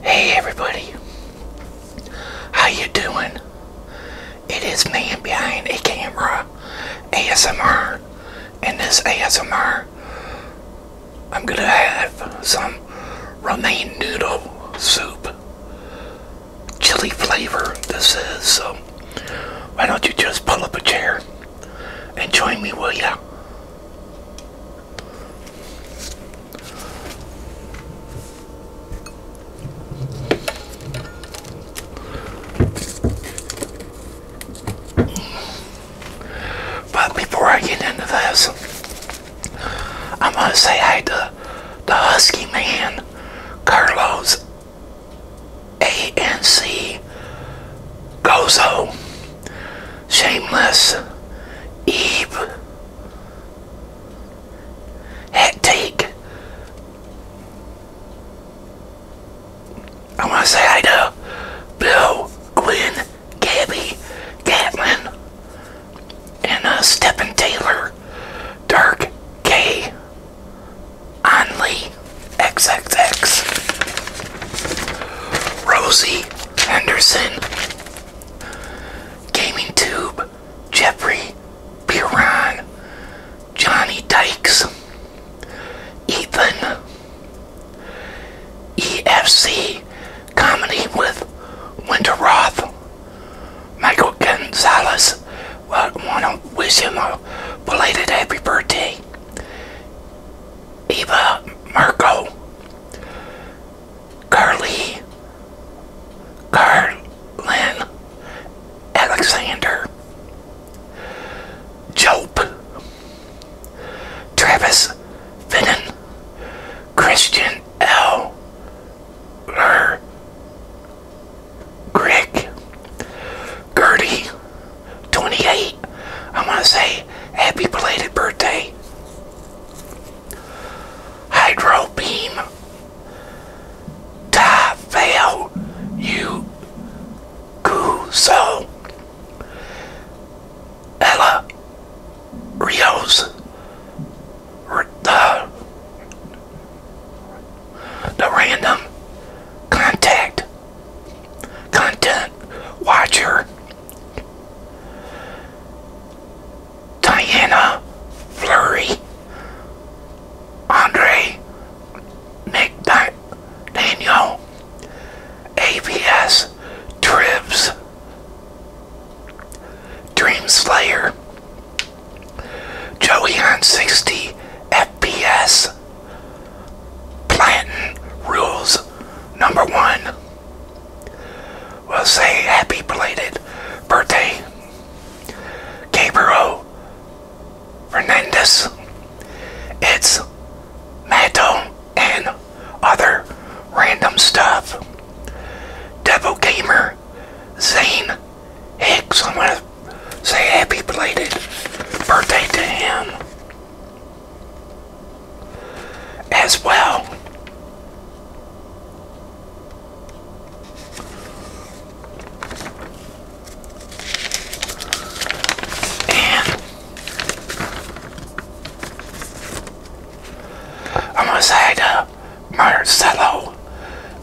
Hey everybody, how you doing? It is man behind a camera, ASMR, and this ASMR, I'm gonna have some romaine noodle soup, chili flavor this is, so um, why don't you just pull up a chair and join me, will ya? But before I get into this, i must say hi to the Husky Man, Carlos ANC Gozo. Shameless Eve Hat I want to say hi to Bill, Gwen, Gabby, Gatlin, and uh, Stephen Taylor, Dark K, Onley, XXX, Rosie. Anderson, Gaming Tube, Jeffrey Piran, Johnny Dykes, Ethan, EFC Comedy with Winter Roth, Michael Gonzalez. Well, I want to wish him a belated happy birthday. Eva Marco, Carly Carlin Alexander Jope Travis Finnan Christian L. Ler Greg Gertie 28 I want to say happy belated birthday Hydrobeam, Beam, Ta Ella Rios, the, the Random Contact Content Watcher. Diana Flurry, Andre McDaniel, AVS Tribs, Dream Slayer, Joey on 60 FPS, Plantin Rules Number 1 will say happy belated birthday, Gabriel Fernandez. It's Mato and other random stuff. Devil Gamer, Zane Hicks. I'm gonna say happy belated birthday to him as well. And I almost had a Marcello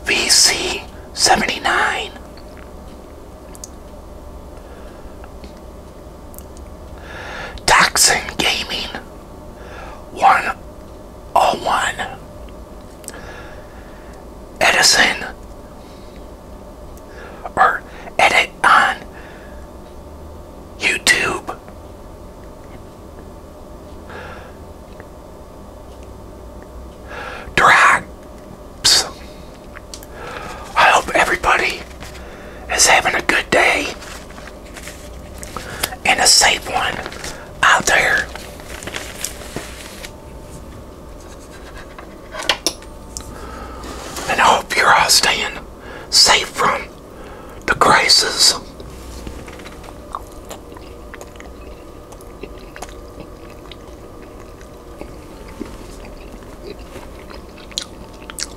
VC79. Toxin Gaming 101 Edison or edit on YouTube Drops I hope everybody is having a good day and a safe one out there. And I hope you're all staying safe from the crisis.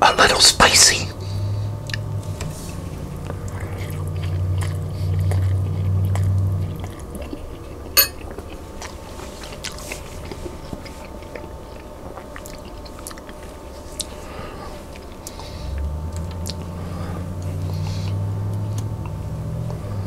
a little spicy.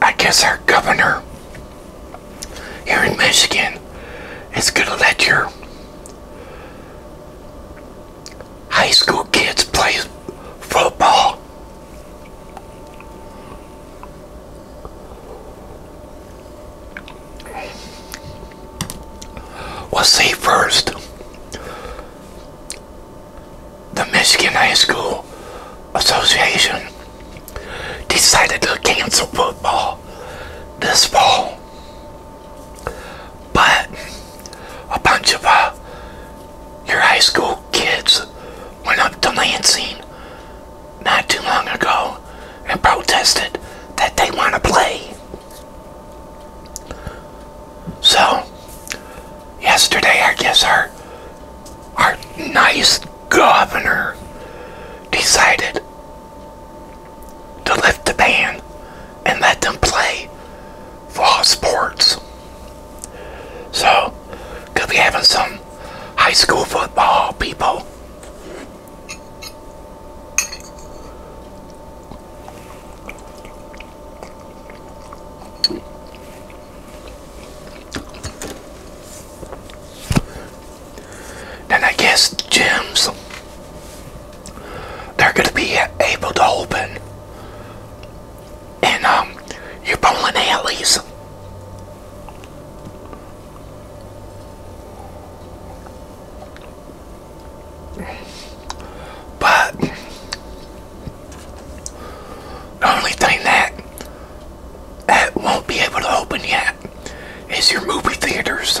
I guess our governor here in Michigan is going to let your high school kids play football. We'll see first the Michigan High School Association decided to cancel football this fall. But a bunch of uh, your high school kids went up to Lansing not too long ago and protested that they want to play. So, yesterday, I guess our our nice governor decided to lift the ban and let them play fall sports. So, could be having some high school football people. Then I guess the gems they're going to be able to open and um, you're pulling alleys. But the only thing that that won't be able to open yet is your movie theaters.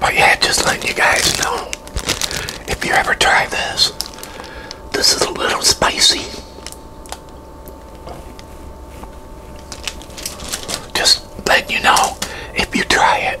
But yeah, just letting you guys know if you ever try this, this is a little spicy. Just letting you know if you try it.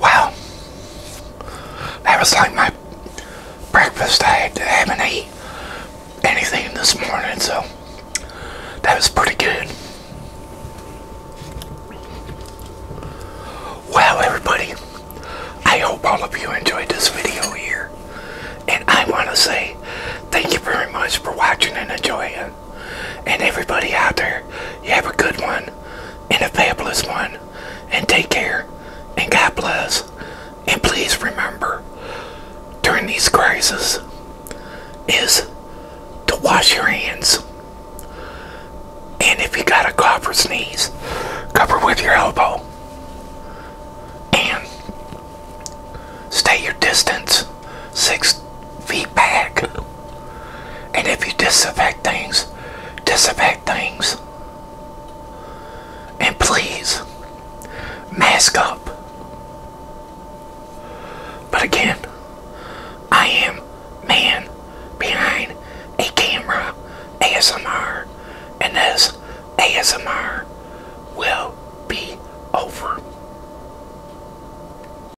Wow. That was like my breakfast. I haven't ate anything this morning, so that was pretty good. Wow, everybody, I hope all of you enjoyed this video here. And I want to say thank you very much for watching and enjoying. And everybody out there, you have a good one and a fabulous one. And take care and God bless. And please remember, during these crises, is to wash your hands. And if you got a cough or sneeze, cover with your elbow. And stay your distance six feet back. And if you disinfect things, disinfect things. And please, mask up. But again, I am man behind a camera ASMR, and this ASMR will be over.